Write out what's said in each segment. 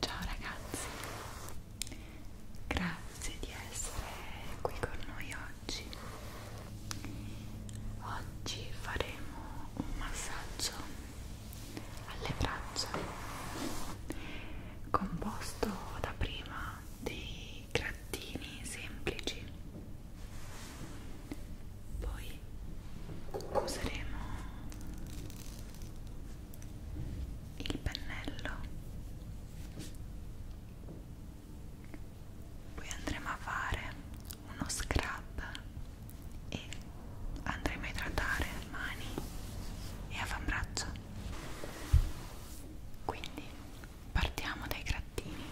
Ciao ragazzi, grazie di essere qui con noi oggi. Oggi faremo un massaggio alle braccia composto da prima dei grattini semplici poi useremo il pennello poi andremo a fare uno scrub e andremo a idratare mani e avambraccio quindi partiamo dai grattini.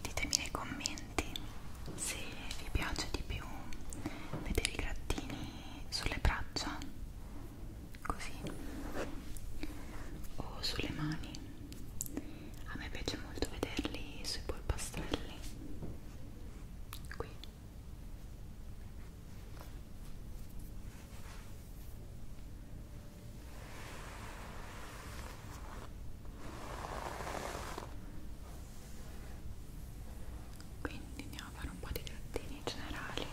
Ditemi nei commenti se vi piace di più vedere i grattini sulle braccia così o sulle mani a me piace molto vederli sui polpastrelli qui qui quindi andiamo a fare un po' di trattini generali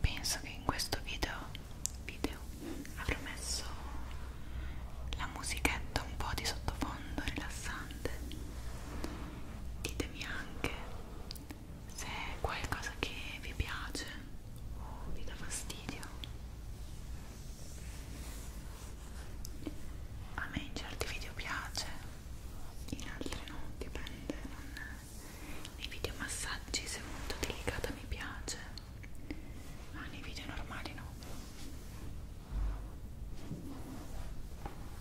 penso che in questo video, video avrò messo la musichetta un po' di sottofondo rilassante ditemi anche se è qualcosa che vi piace o vi dà fastidio a me in certi video piace in altri no, dipende non... nei video massaggi se è molto delicata mi piace ma nei video normali no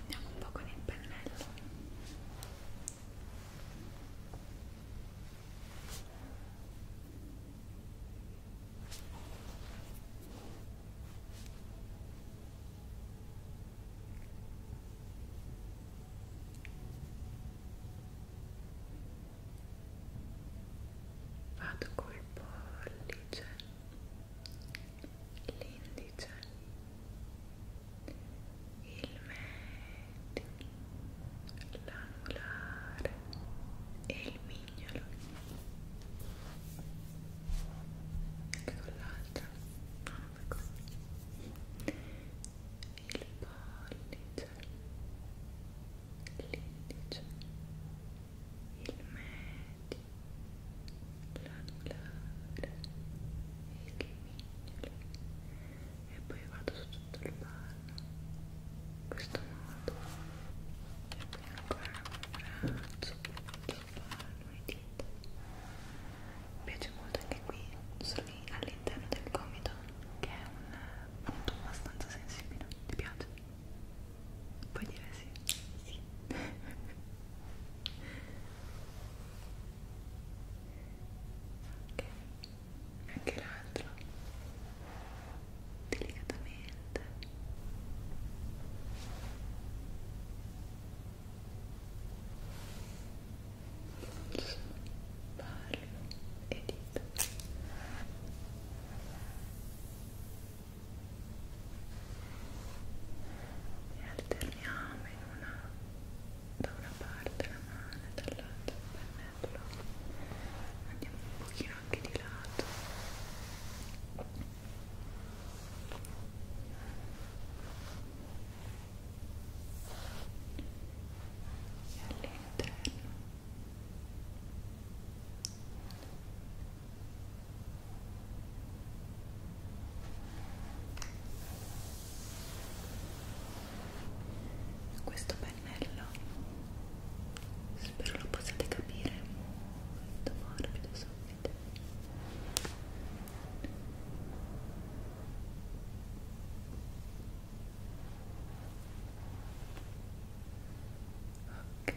andiamo un po' con il pennello Vado col pollice l'indice, il medio, l'anulare e il mignolo e con l'altra non fai così il pollice il l'indice, il medio, l'anulare, il mignolo e poi vado su tutto il palmo in questo modo e poi ancora un braccio, tutto il palmo e dita mi piace molto anche qui all'interno del gomito che è un punto abbastanza sensibile ti piace? Puoi dire sì? Sì. ok, anche l'altro. Delicatamente. Spara collo e dito e alterniamo in una, da una parte la mano e dall'altra il pennello andiamo un pochino anche di lato e all'interno questo pennello spero lo possiate capire molto morbido subito. Ok.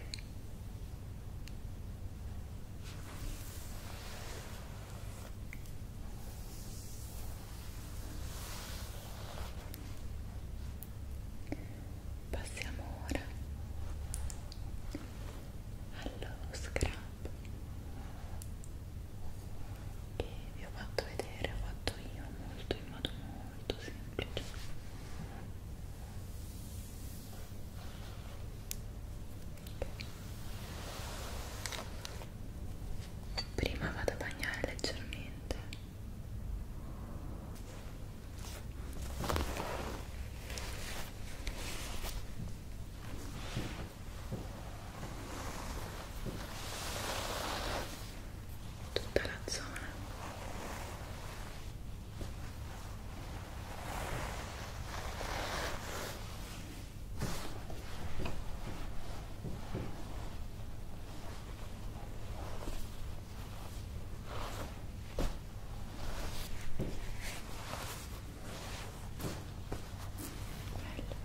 Passiamo ora allo scrub che vi ho fatto vedere, ho fatto io molto in modo molto semplice okay. prima vado a bagnare leggermente Okay tutta la zona Bello.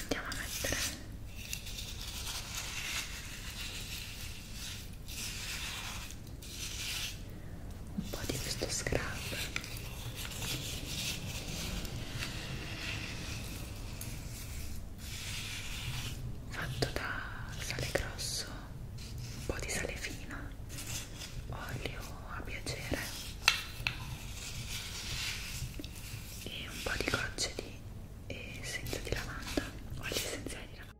andiamo a mettere un po' di questo scrub fatto da sale grosso un po' di sale fino olio a piacere e un po' di gocce di essenza di lavanda, olio essenziale di lavanda.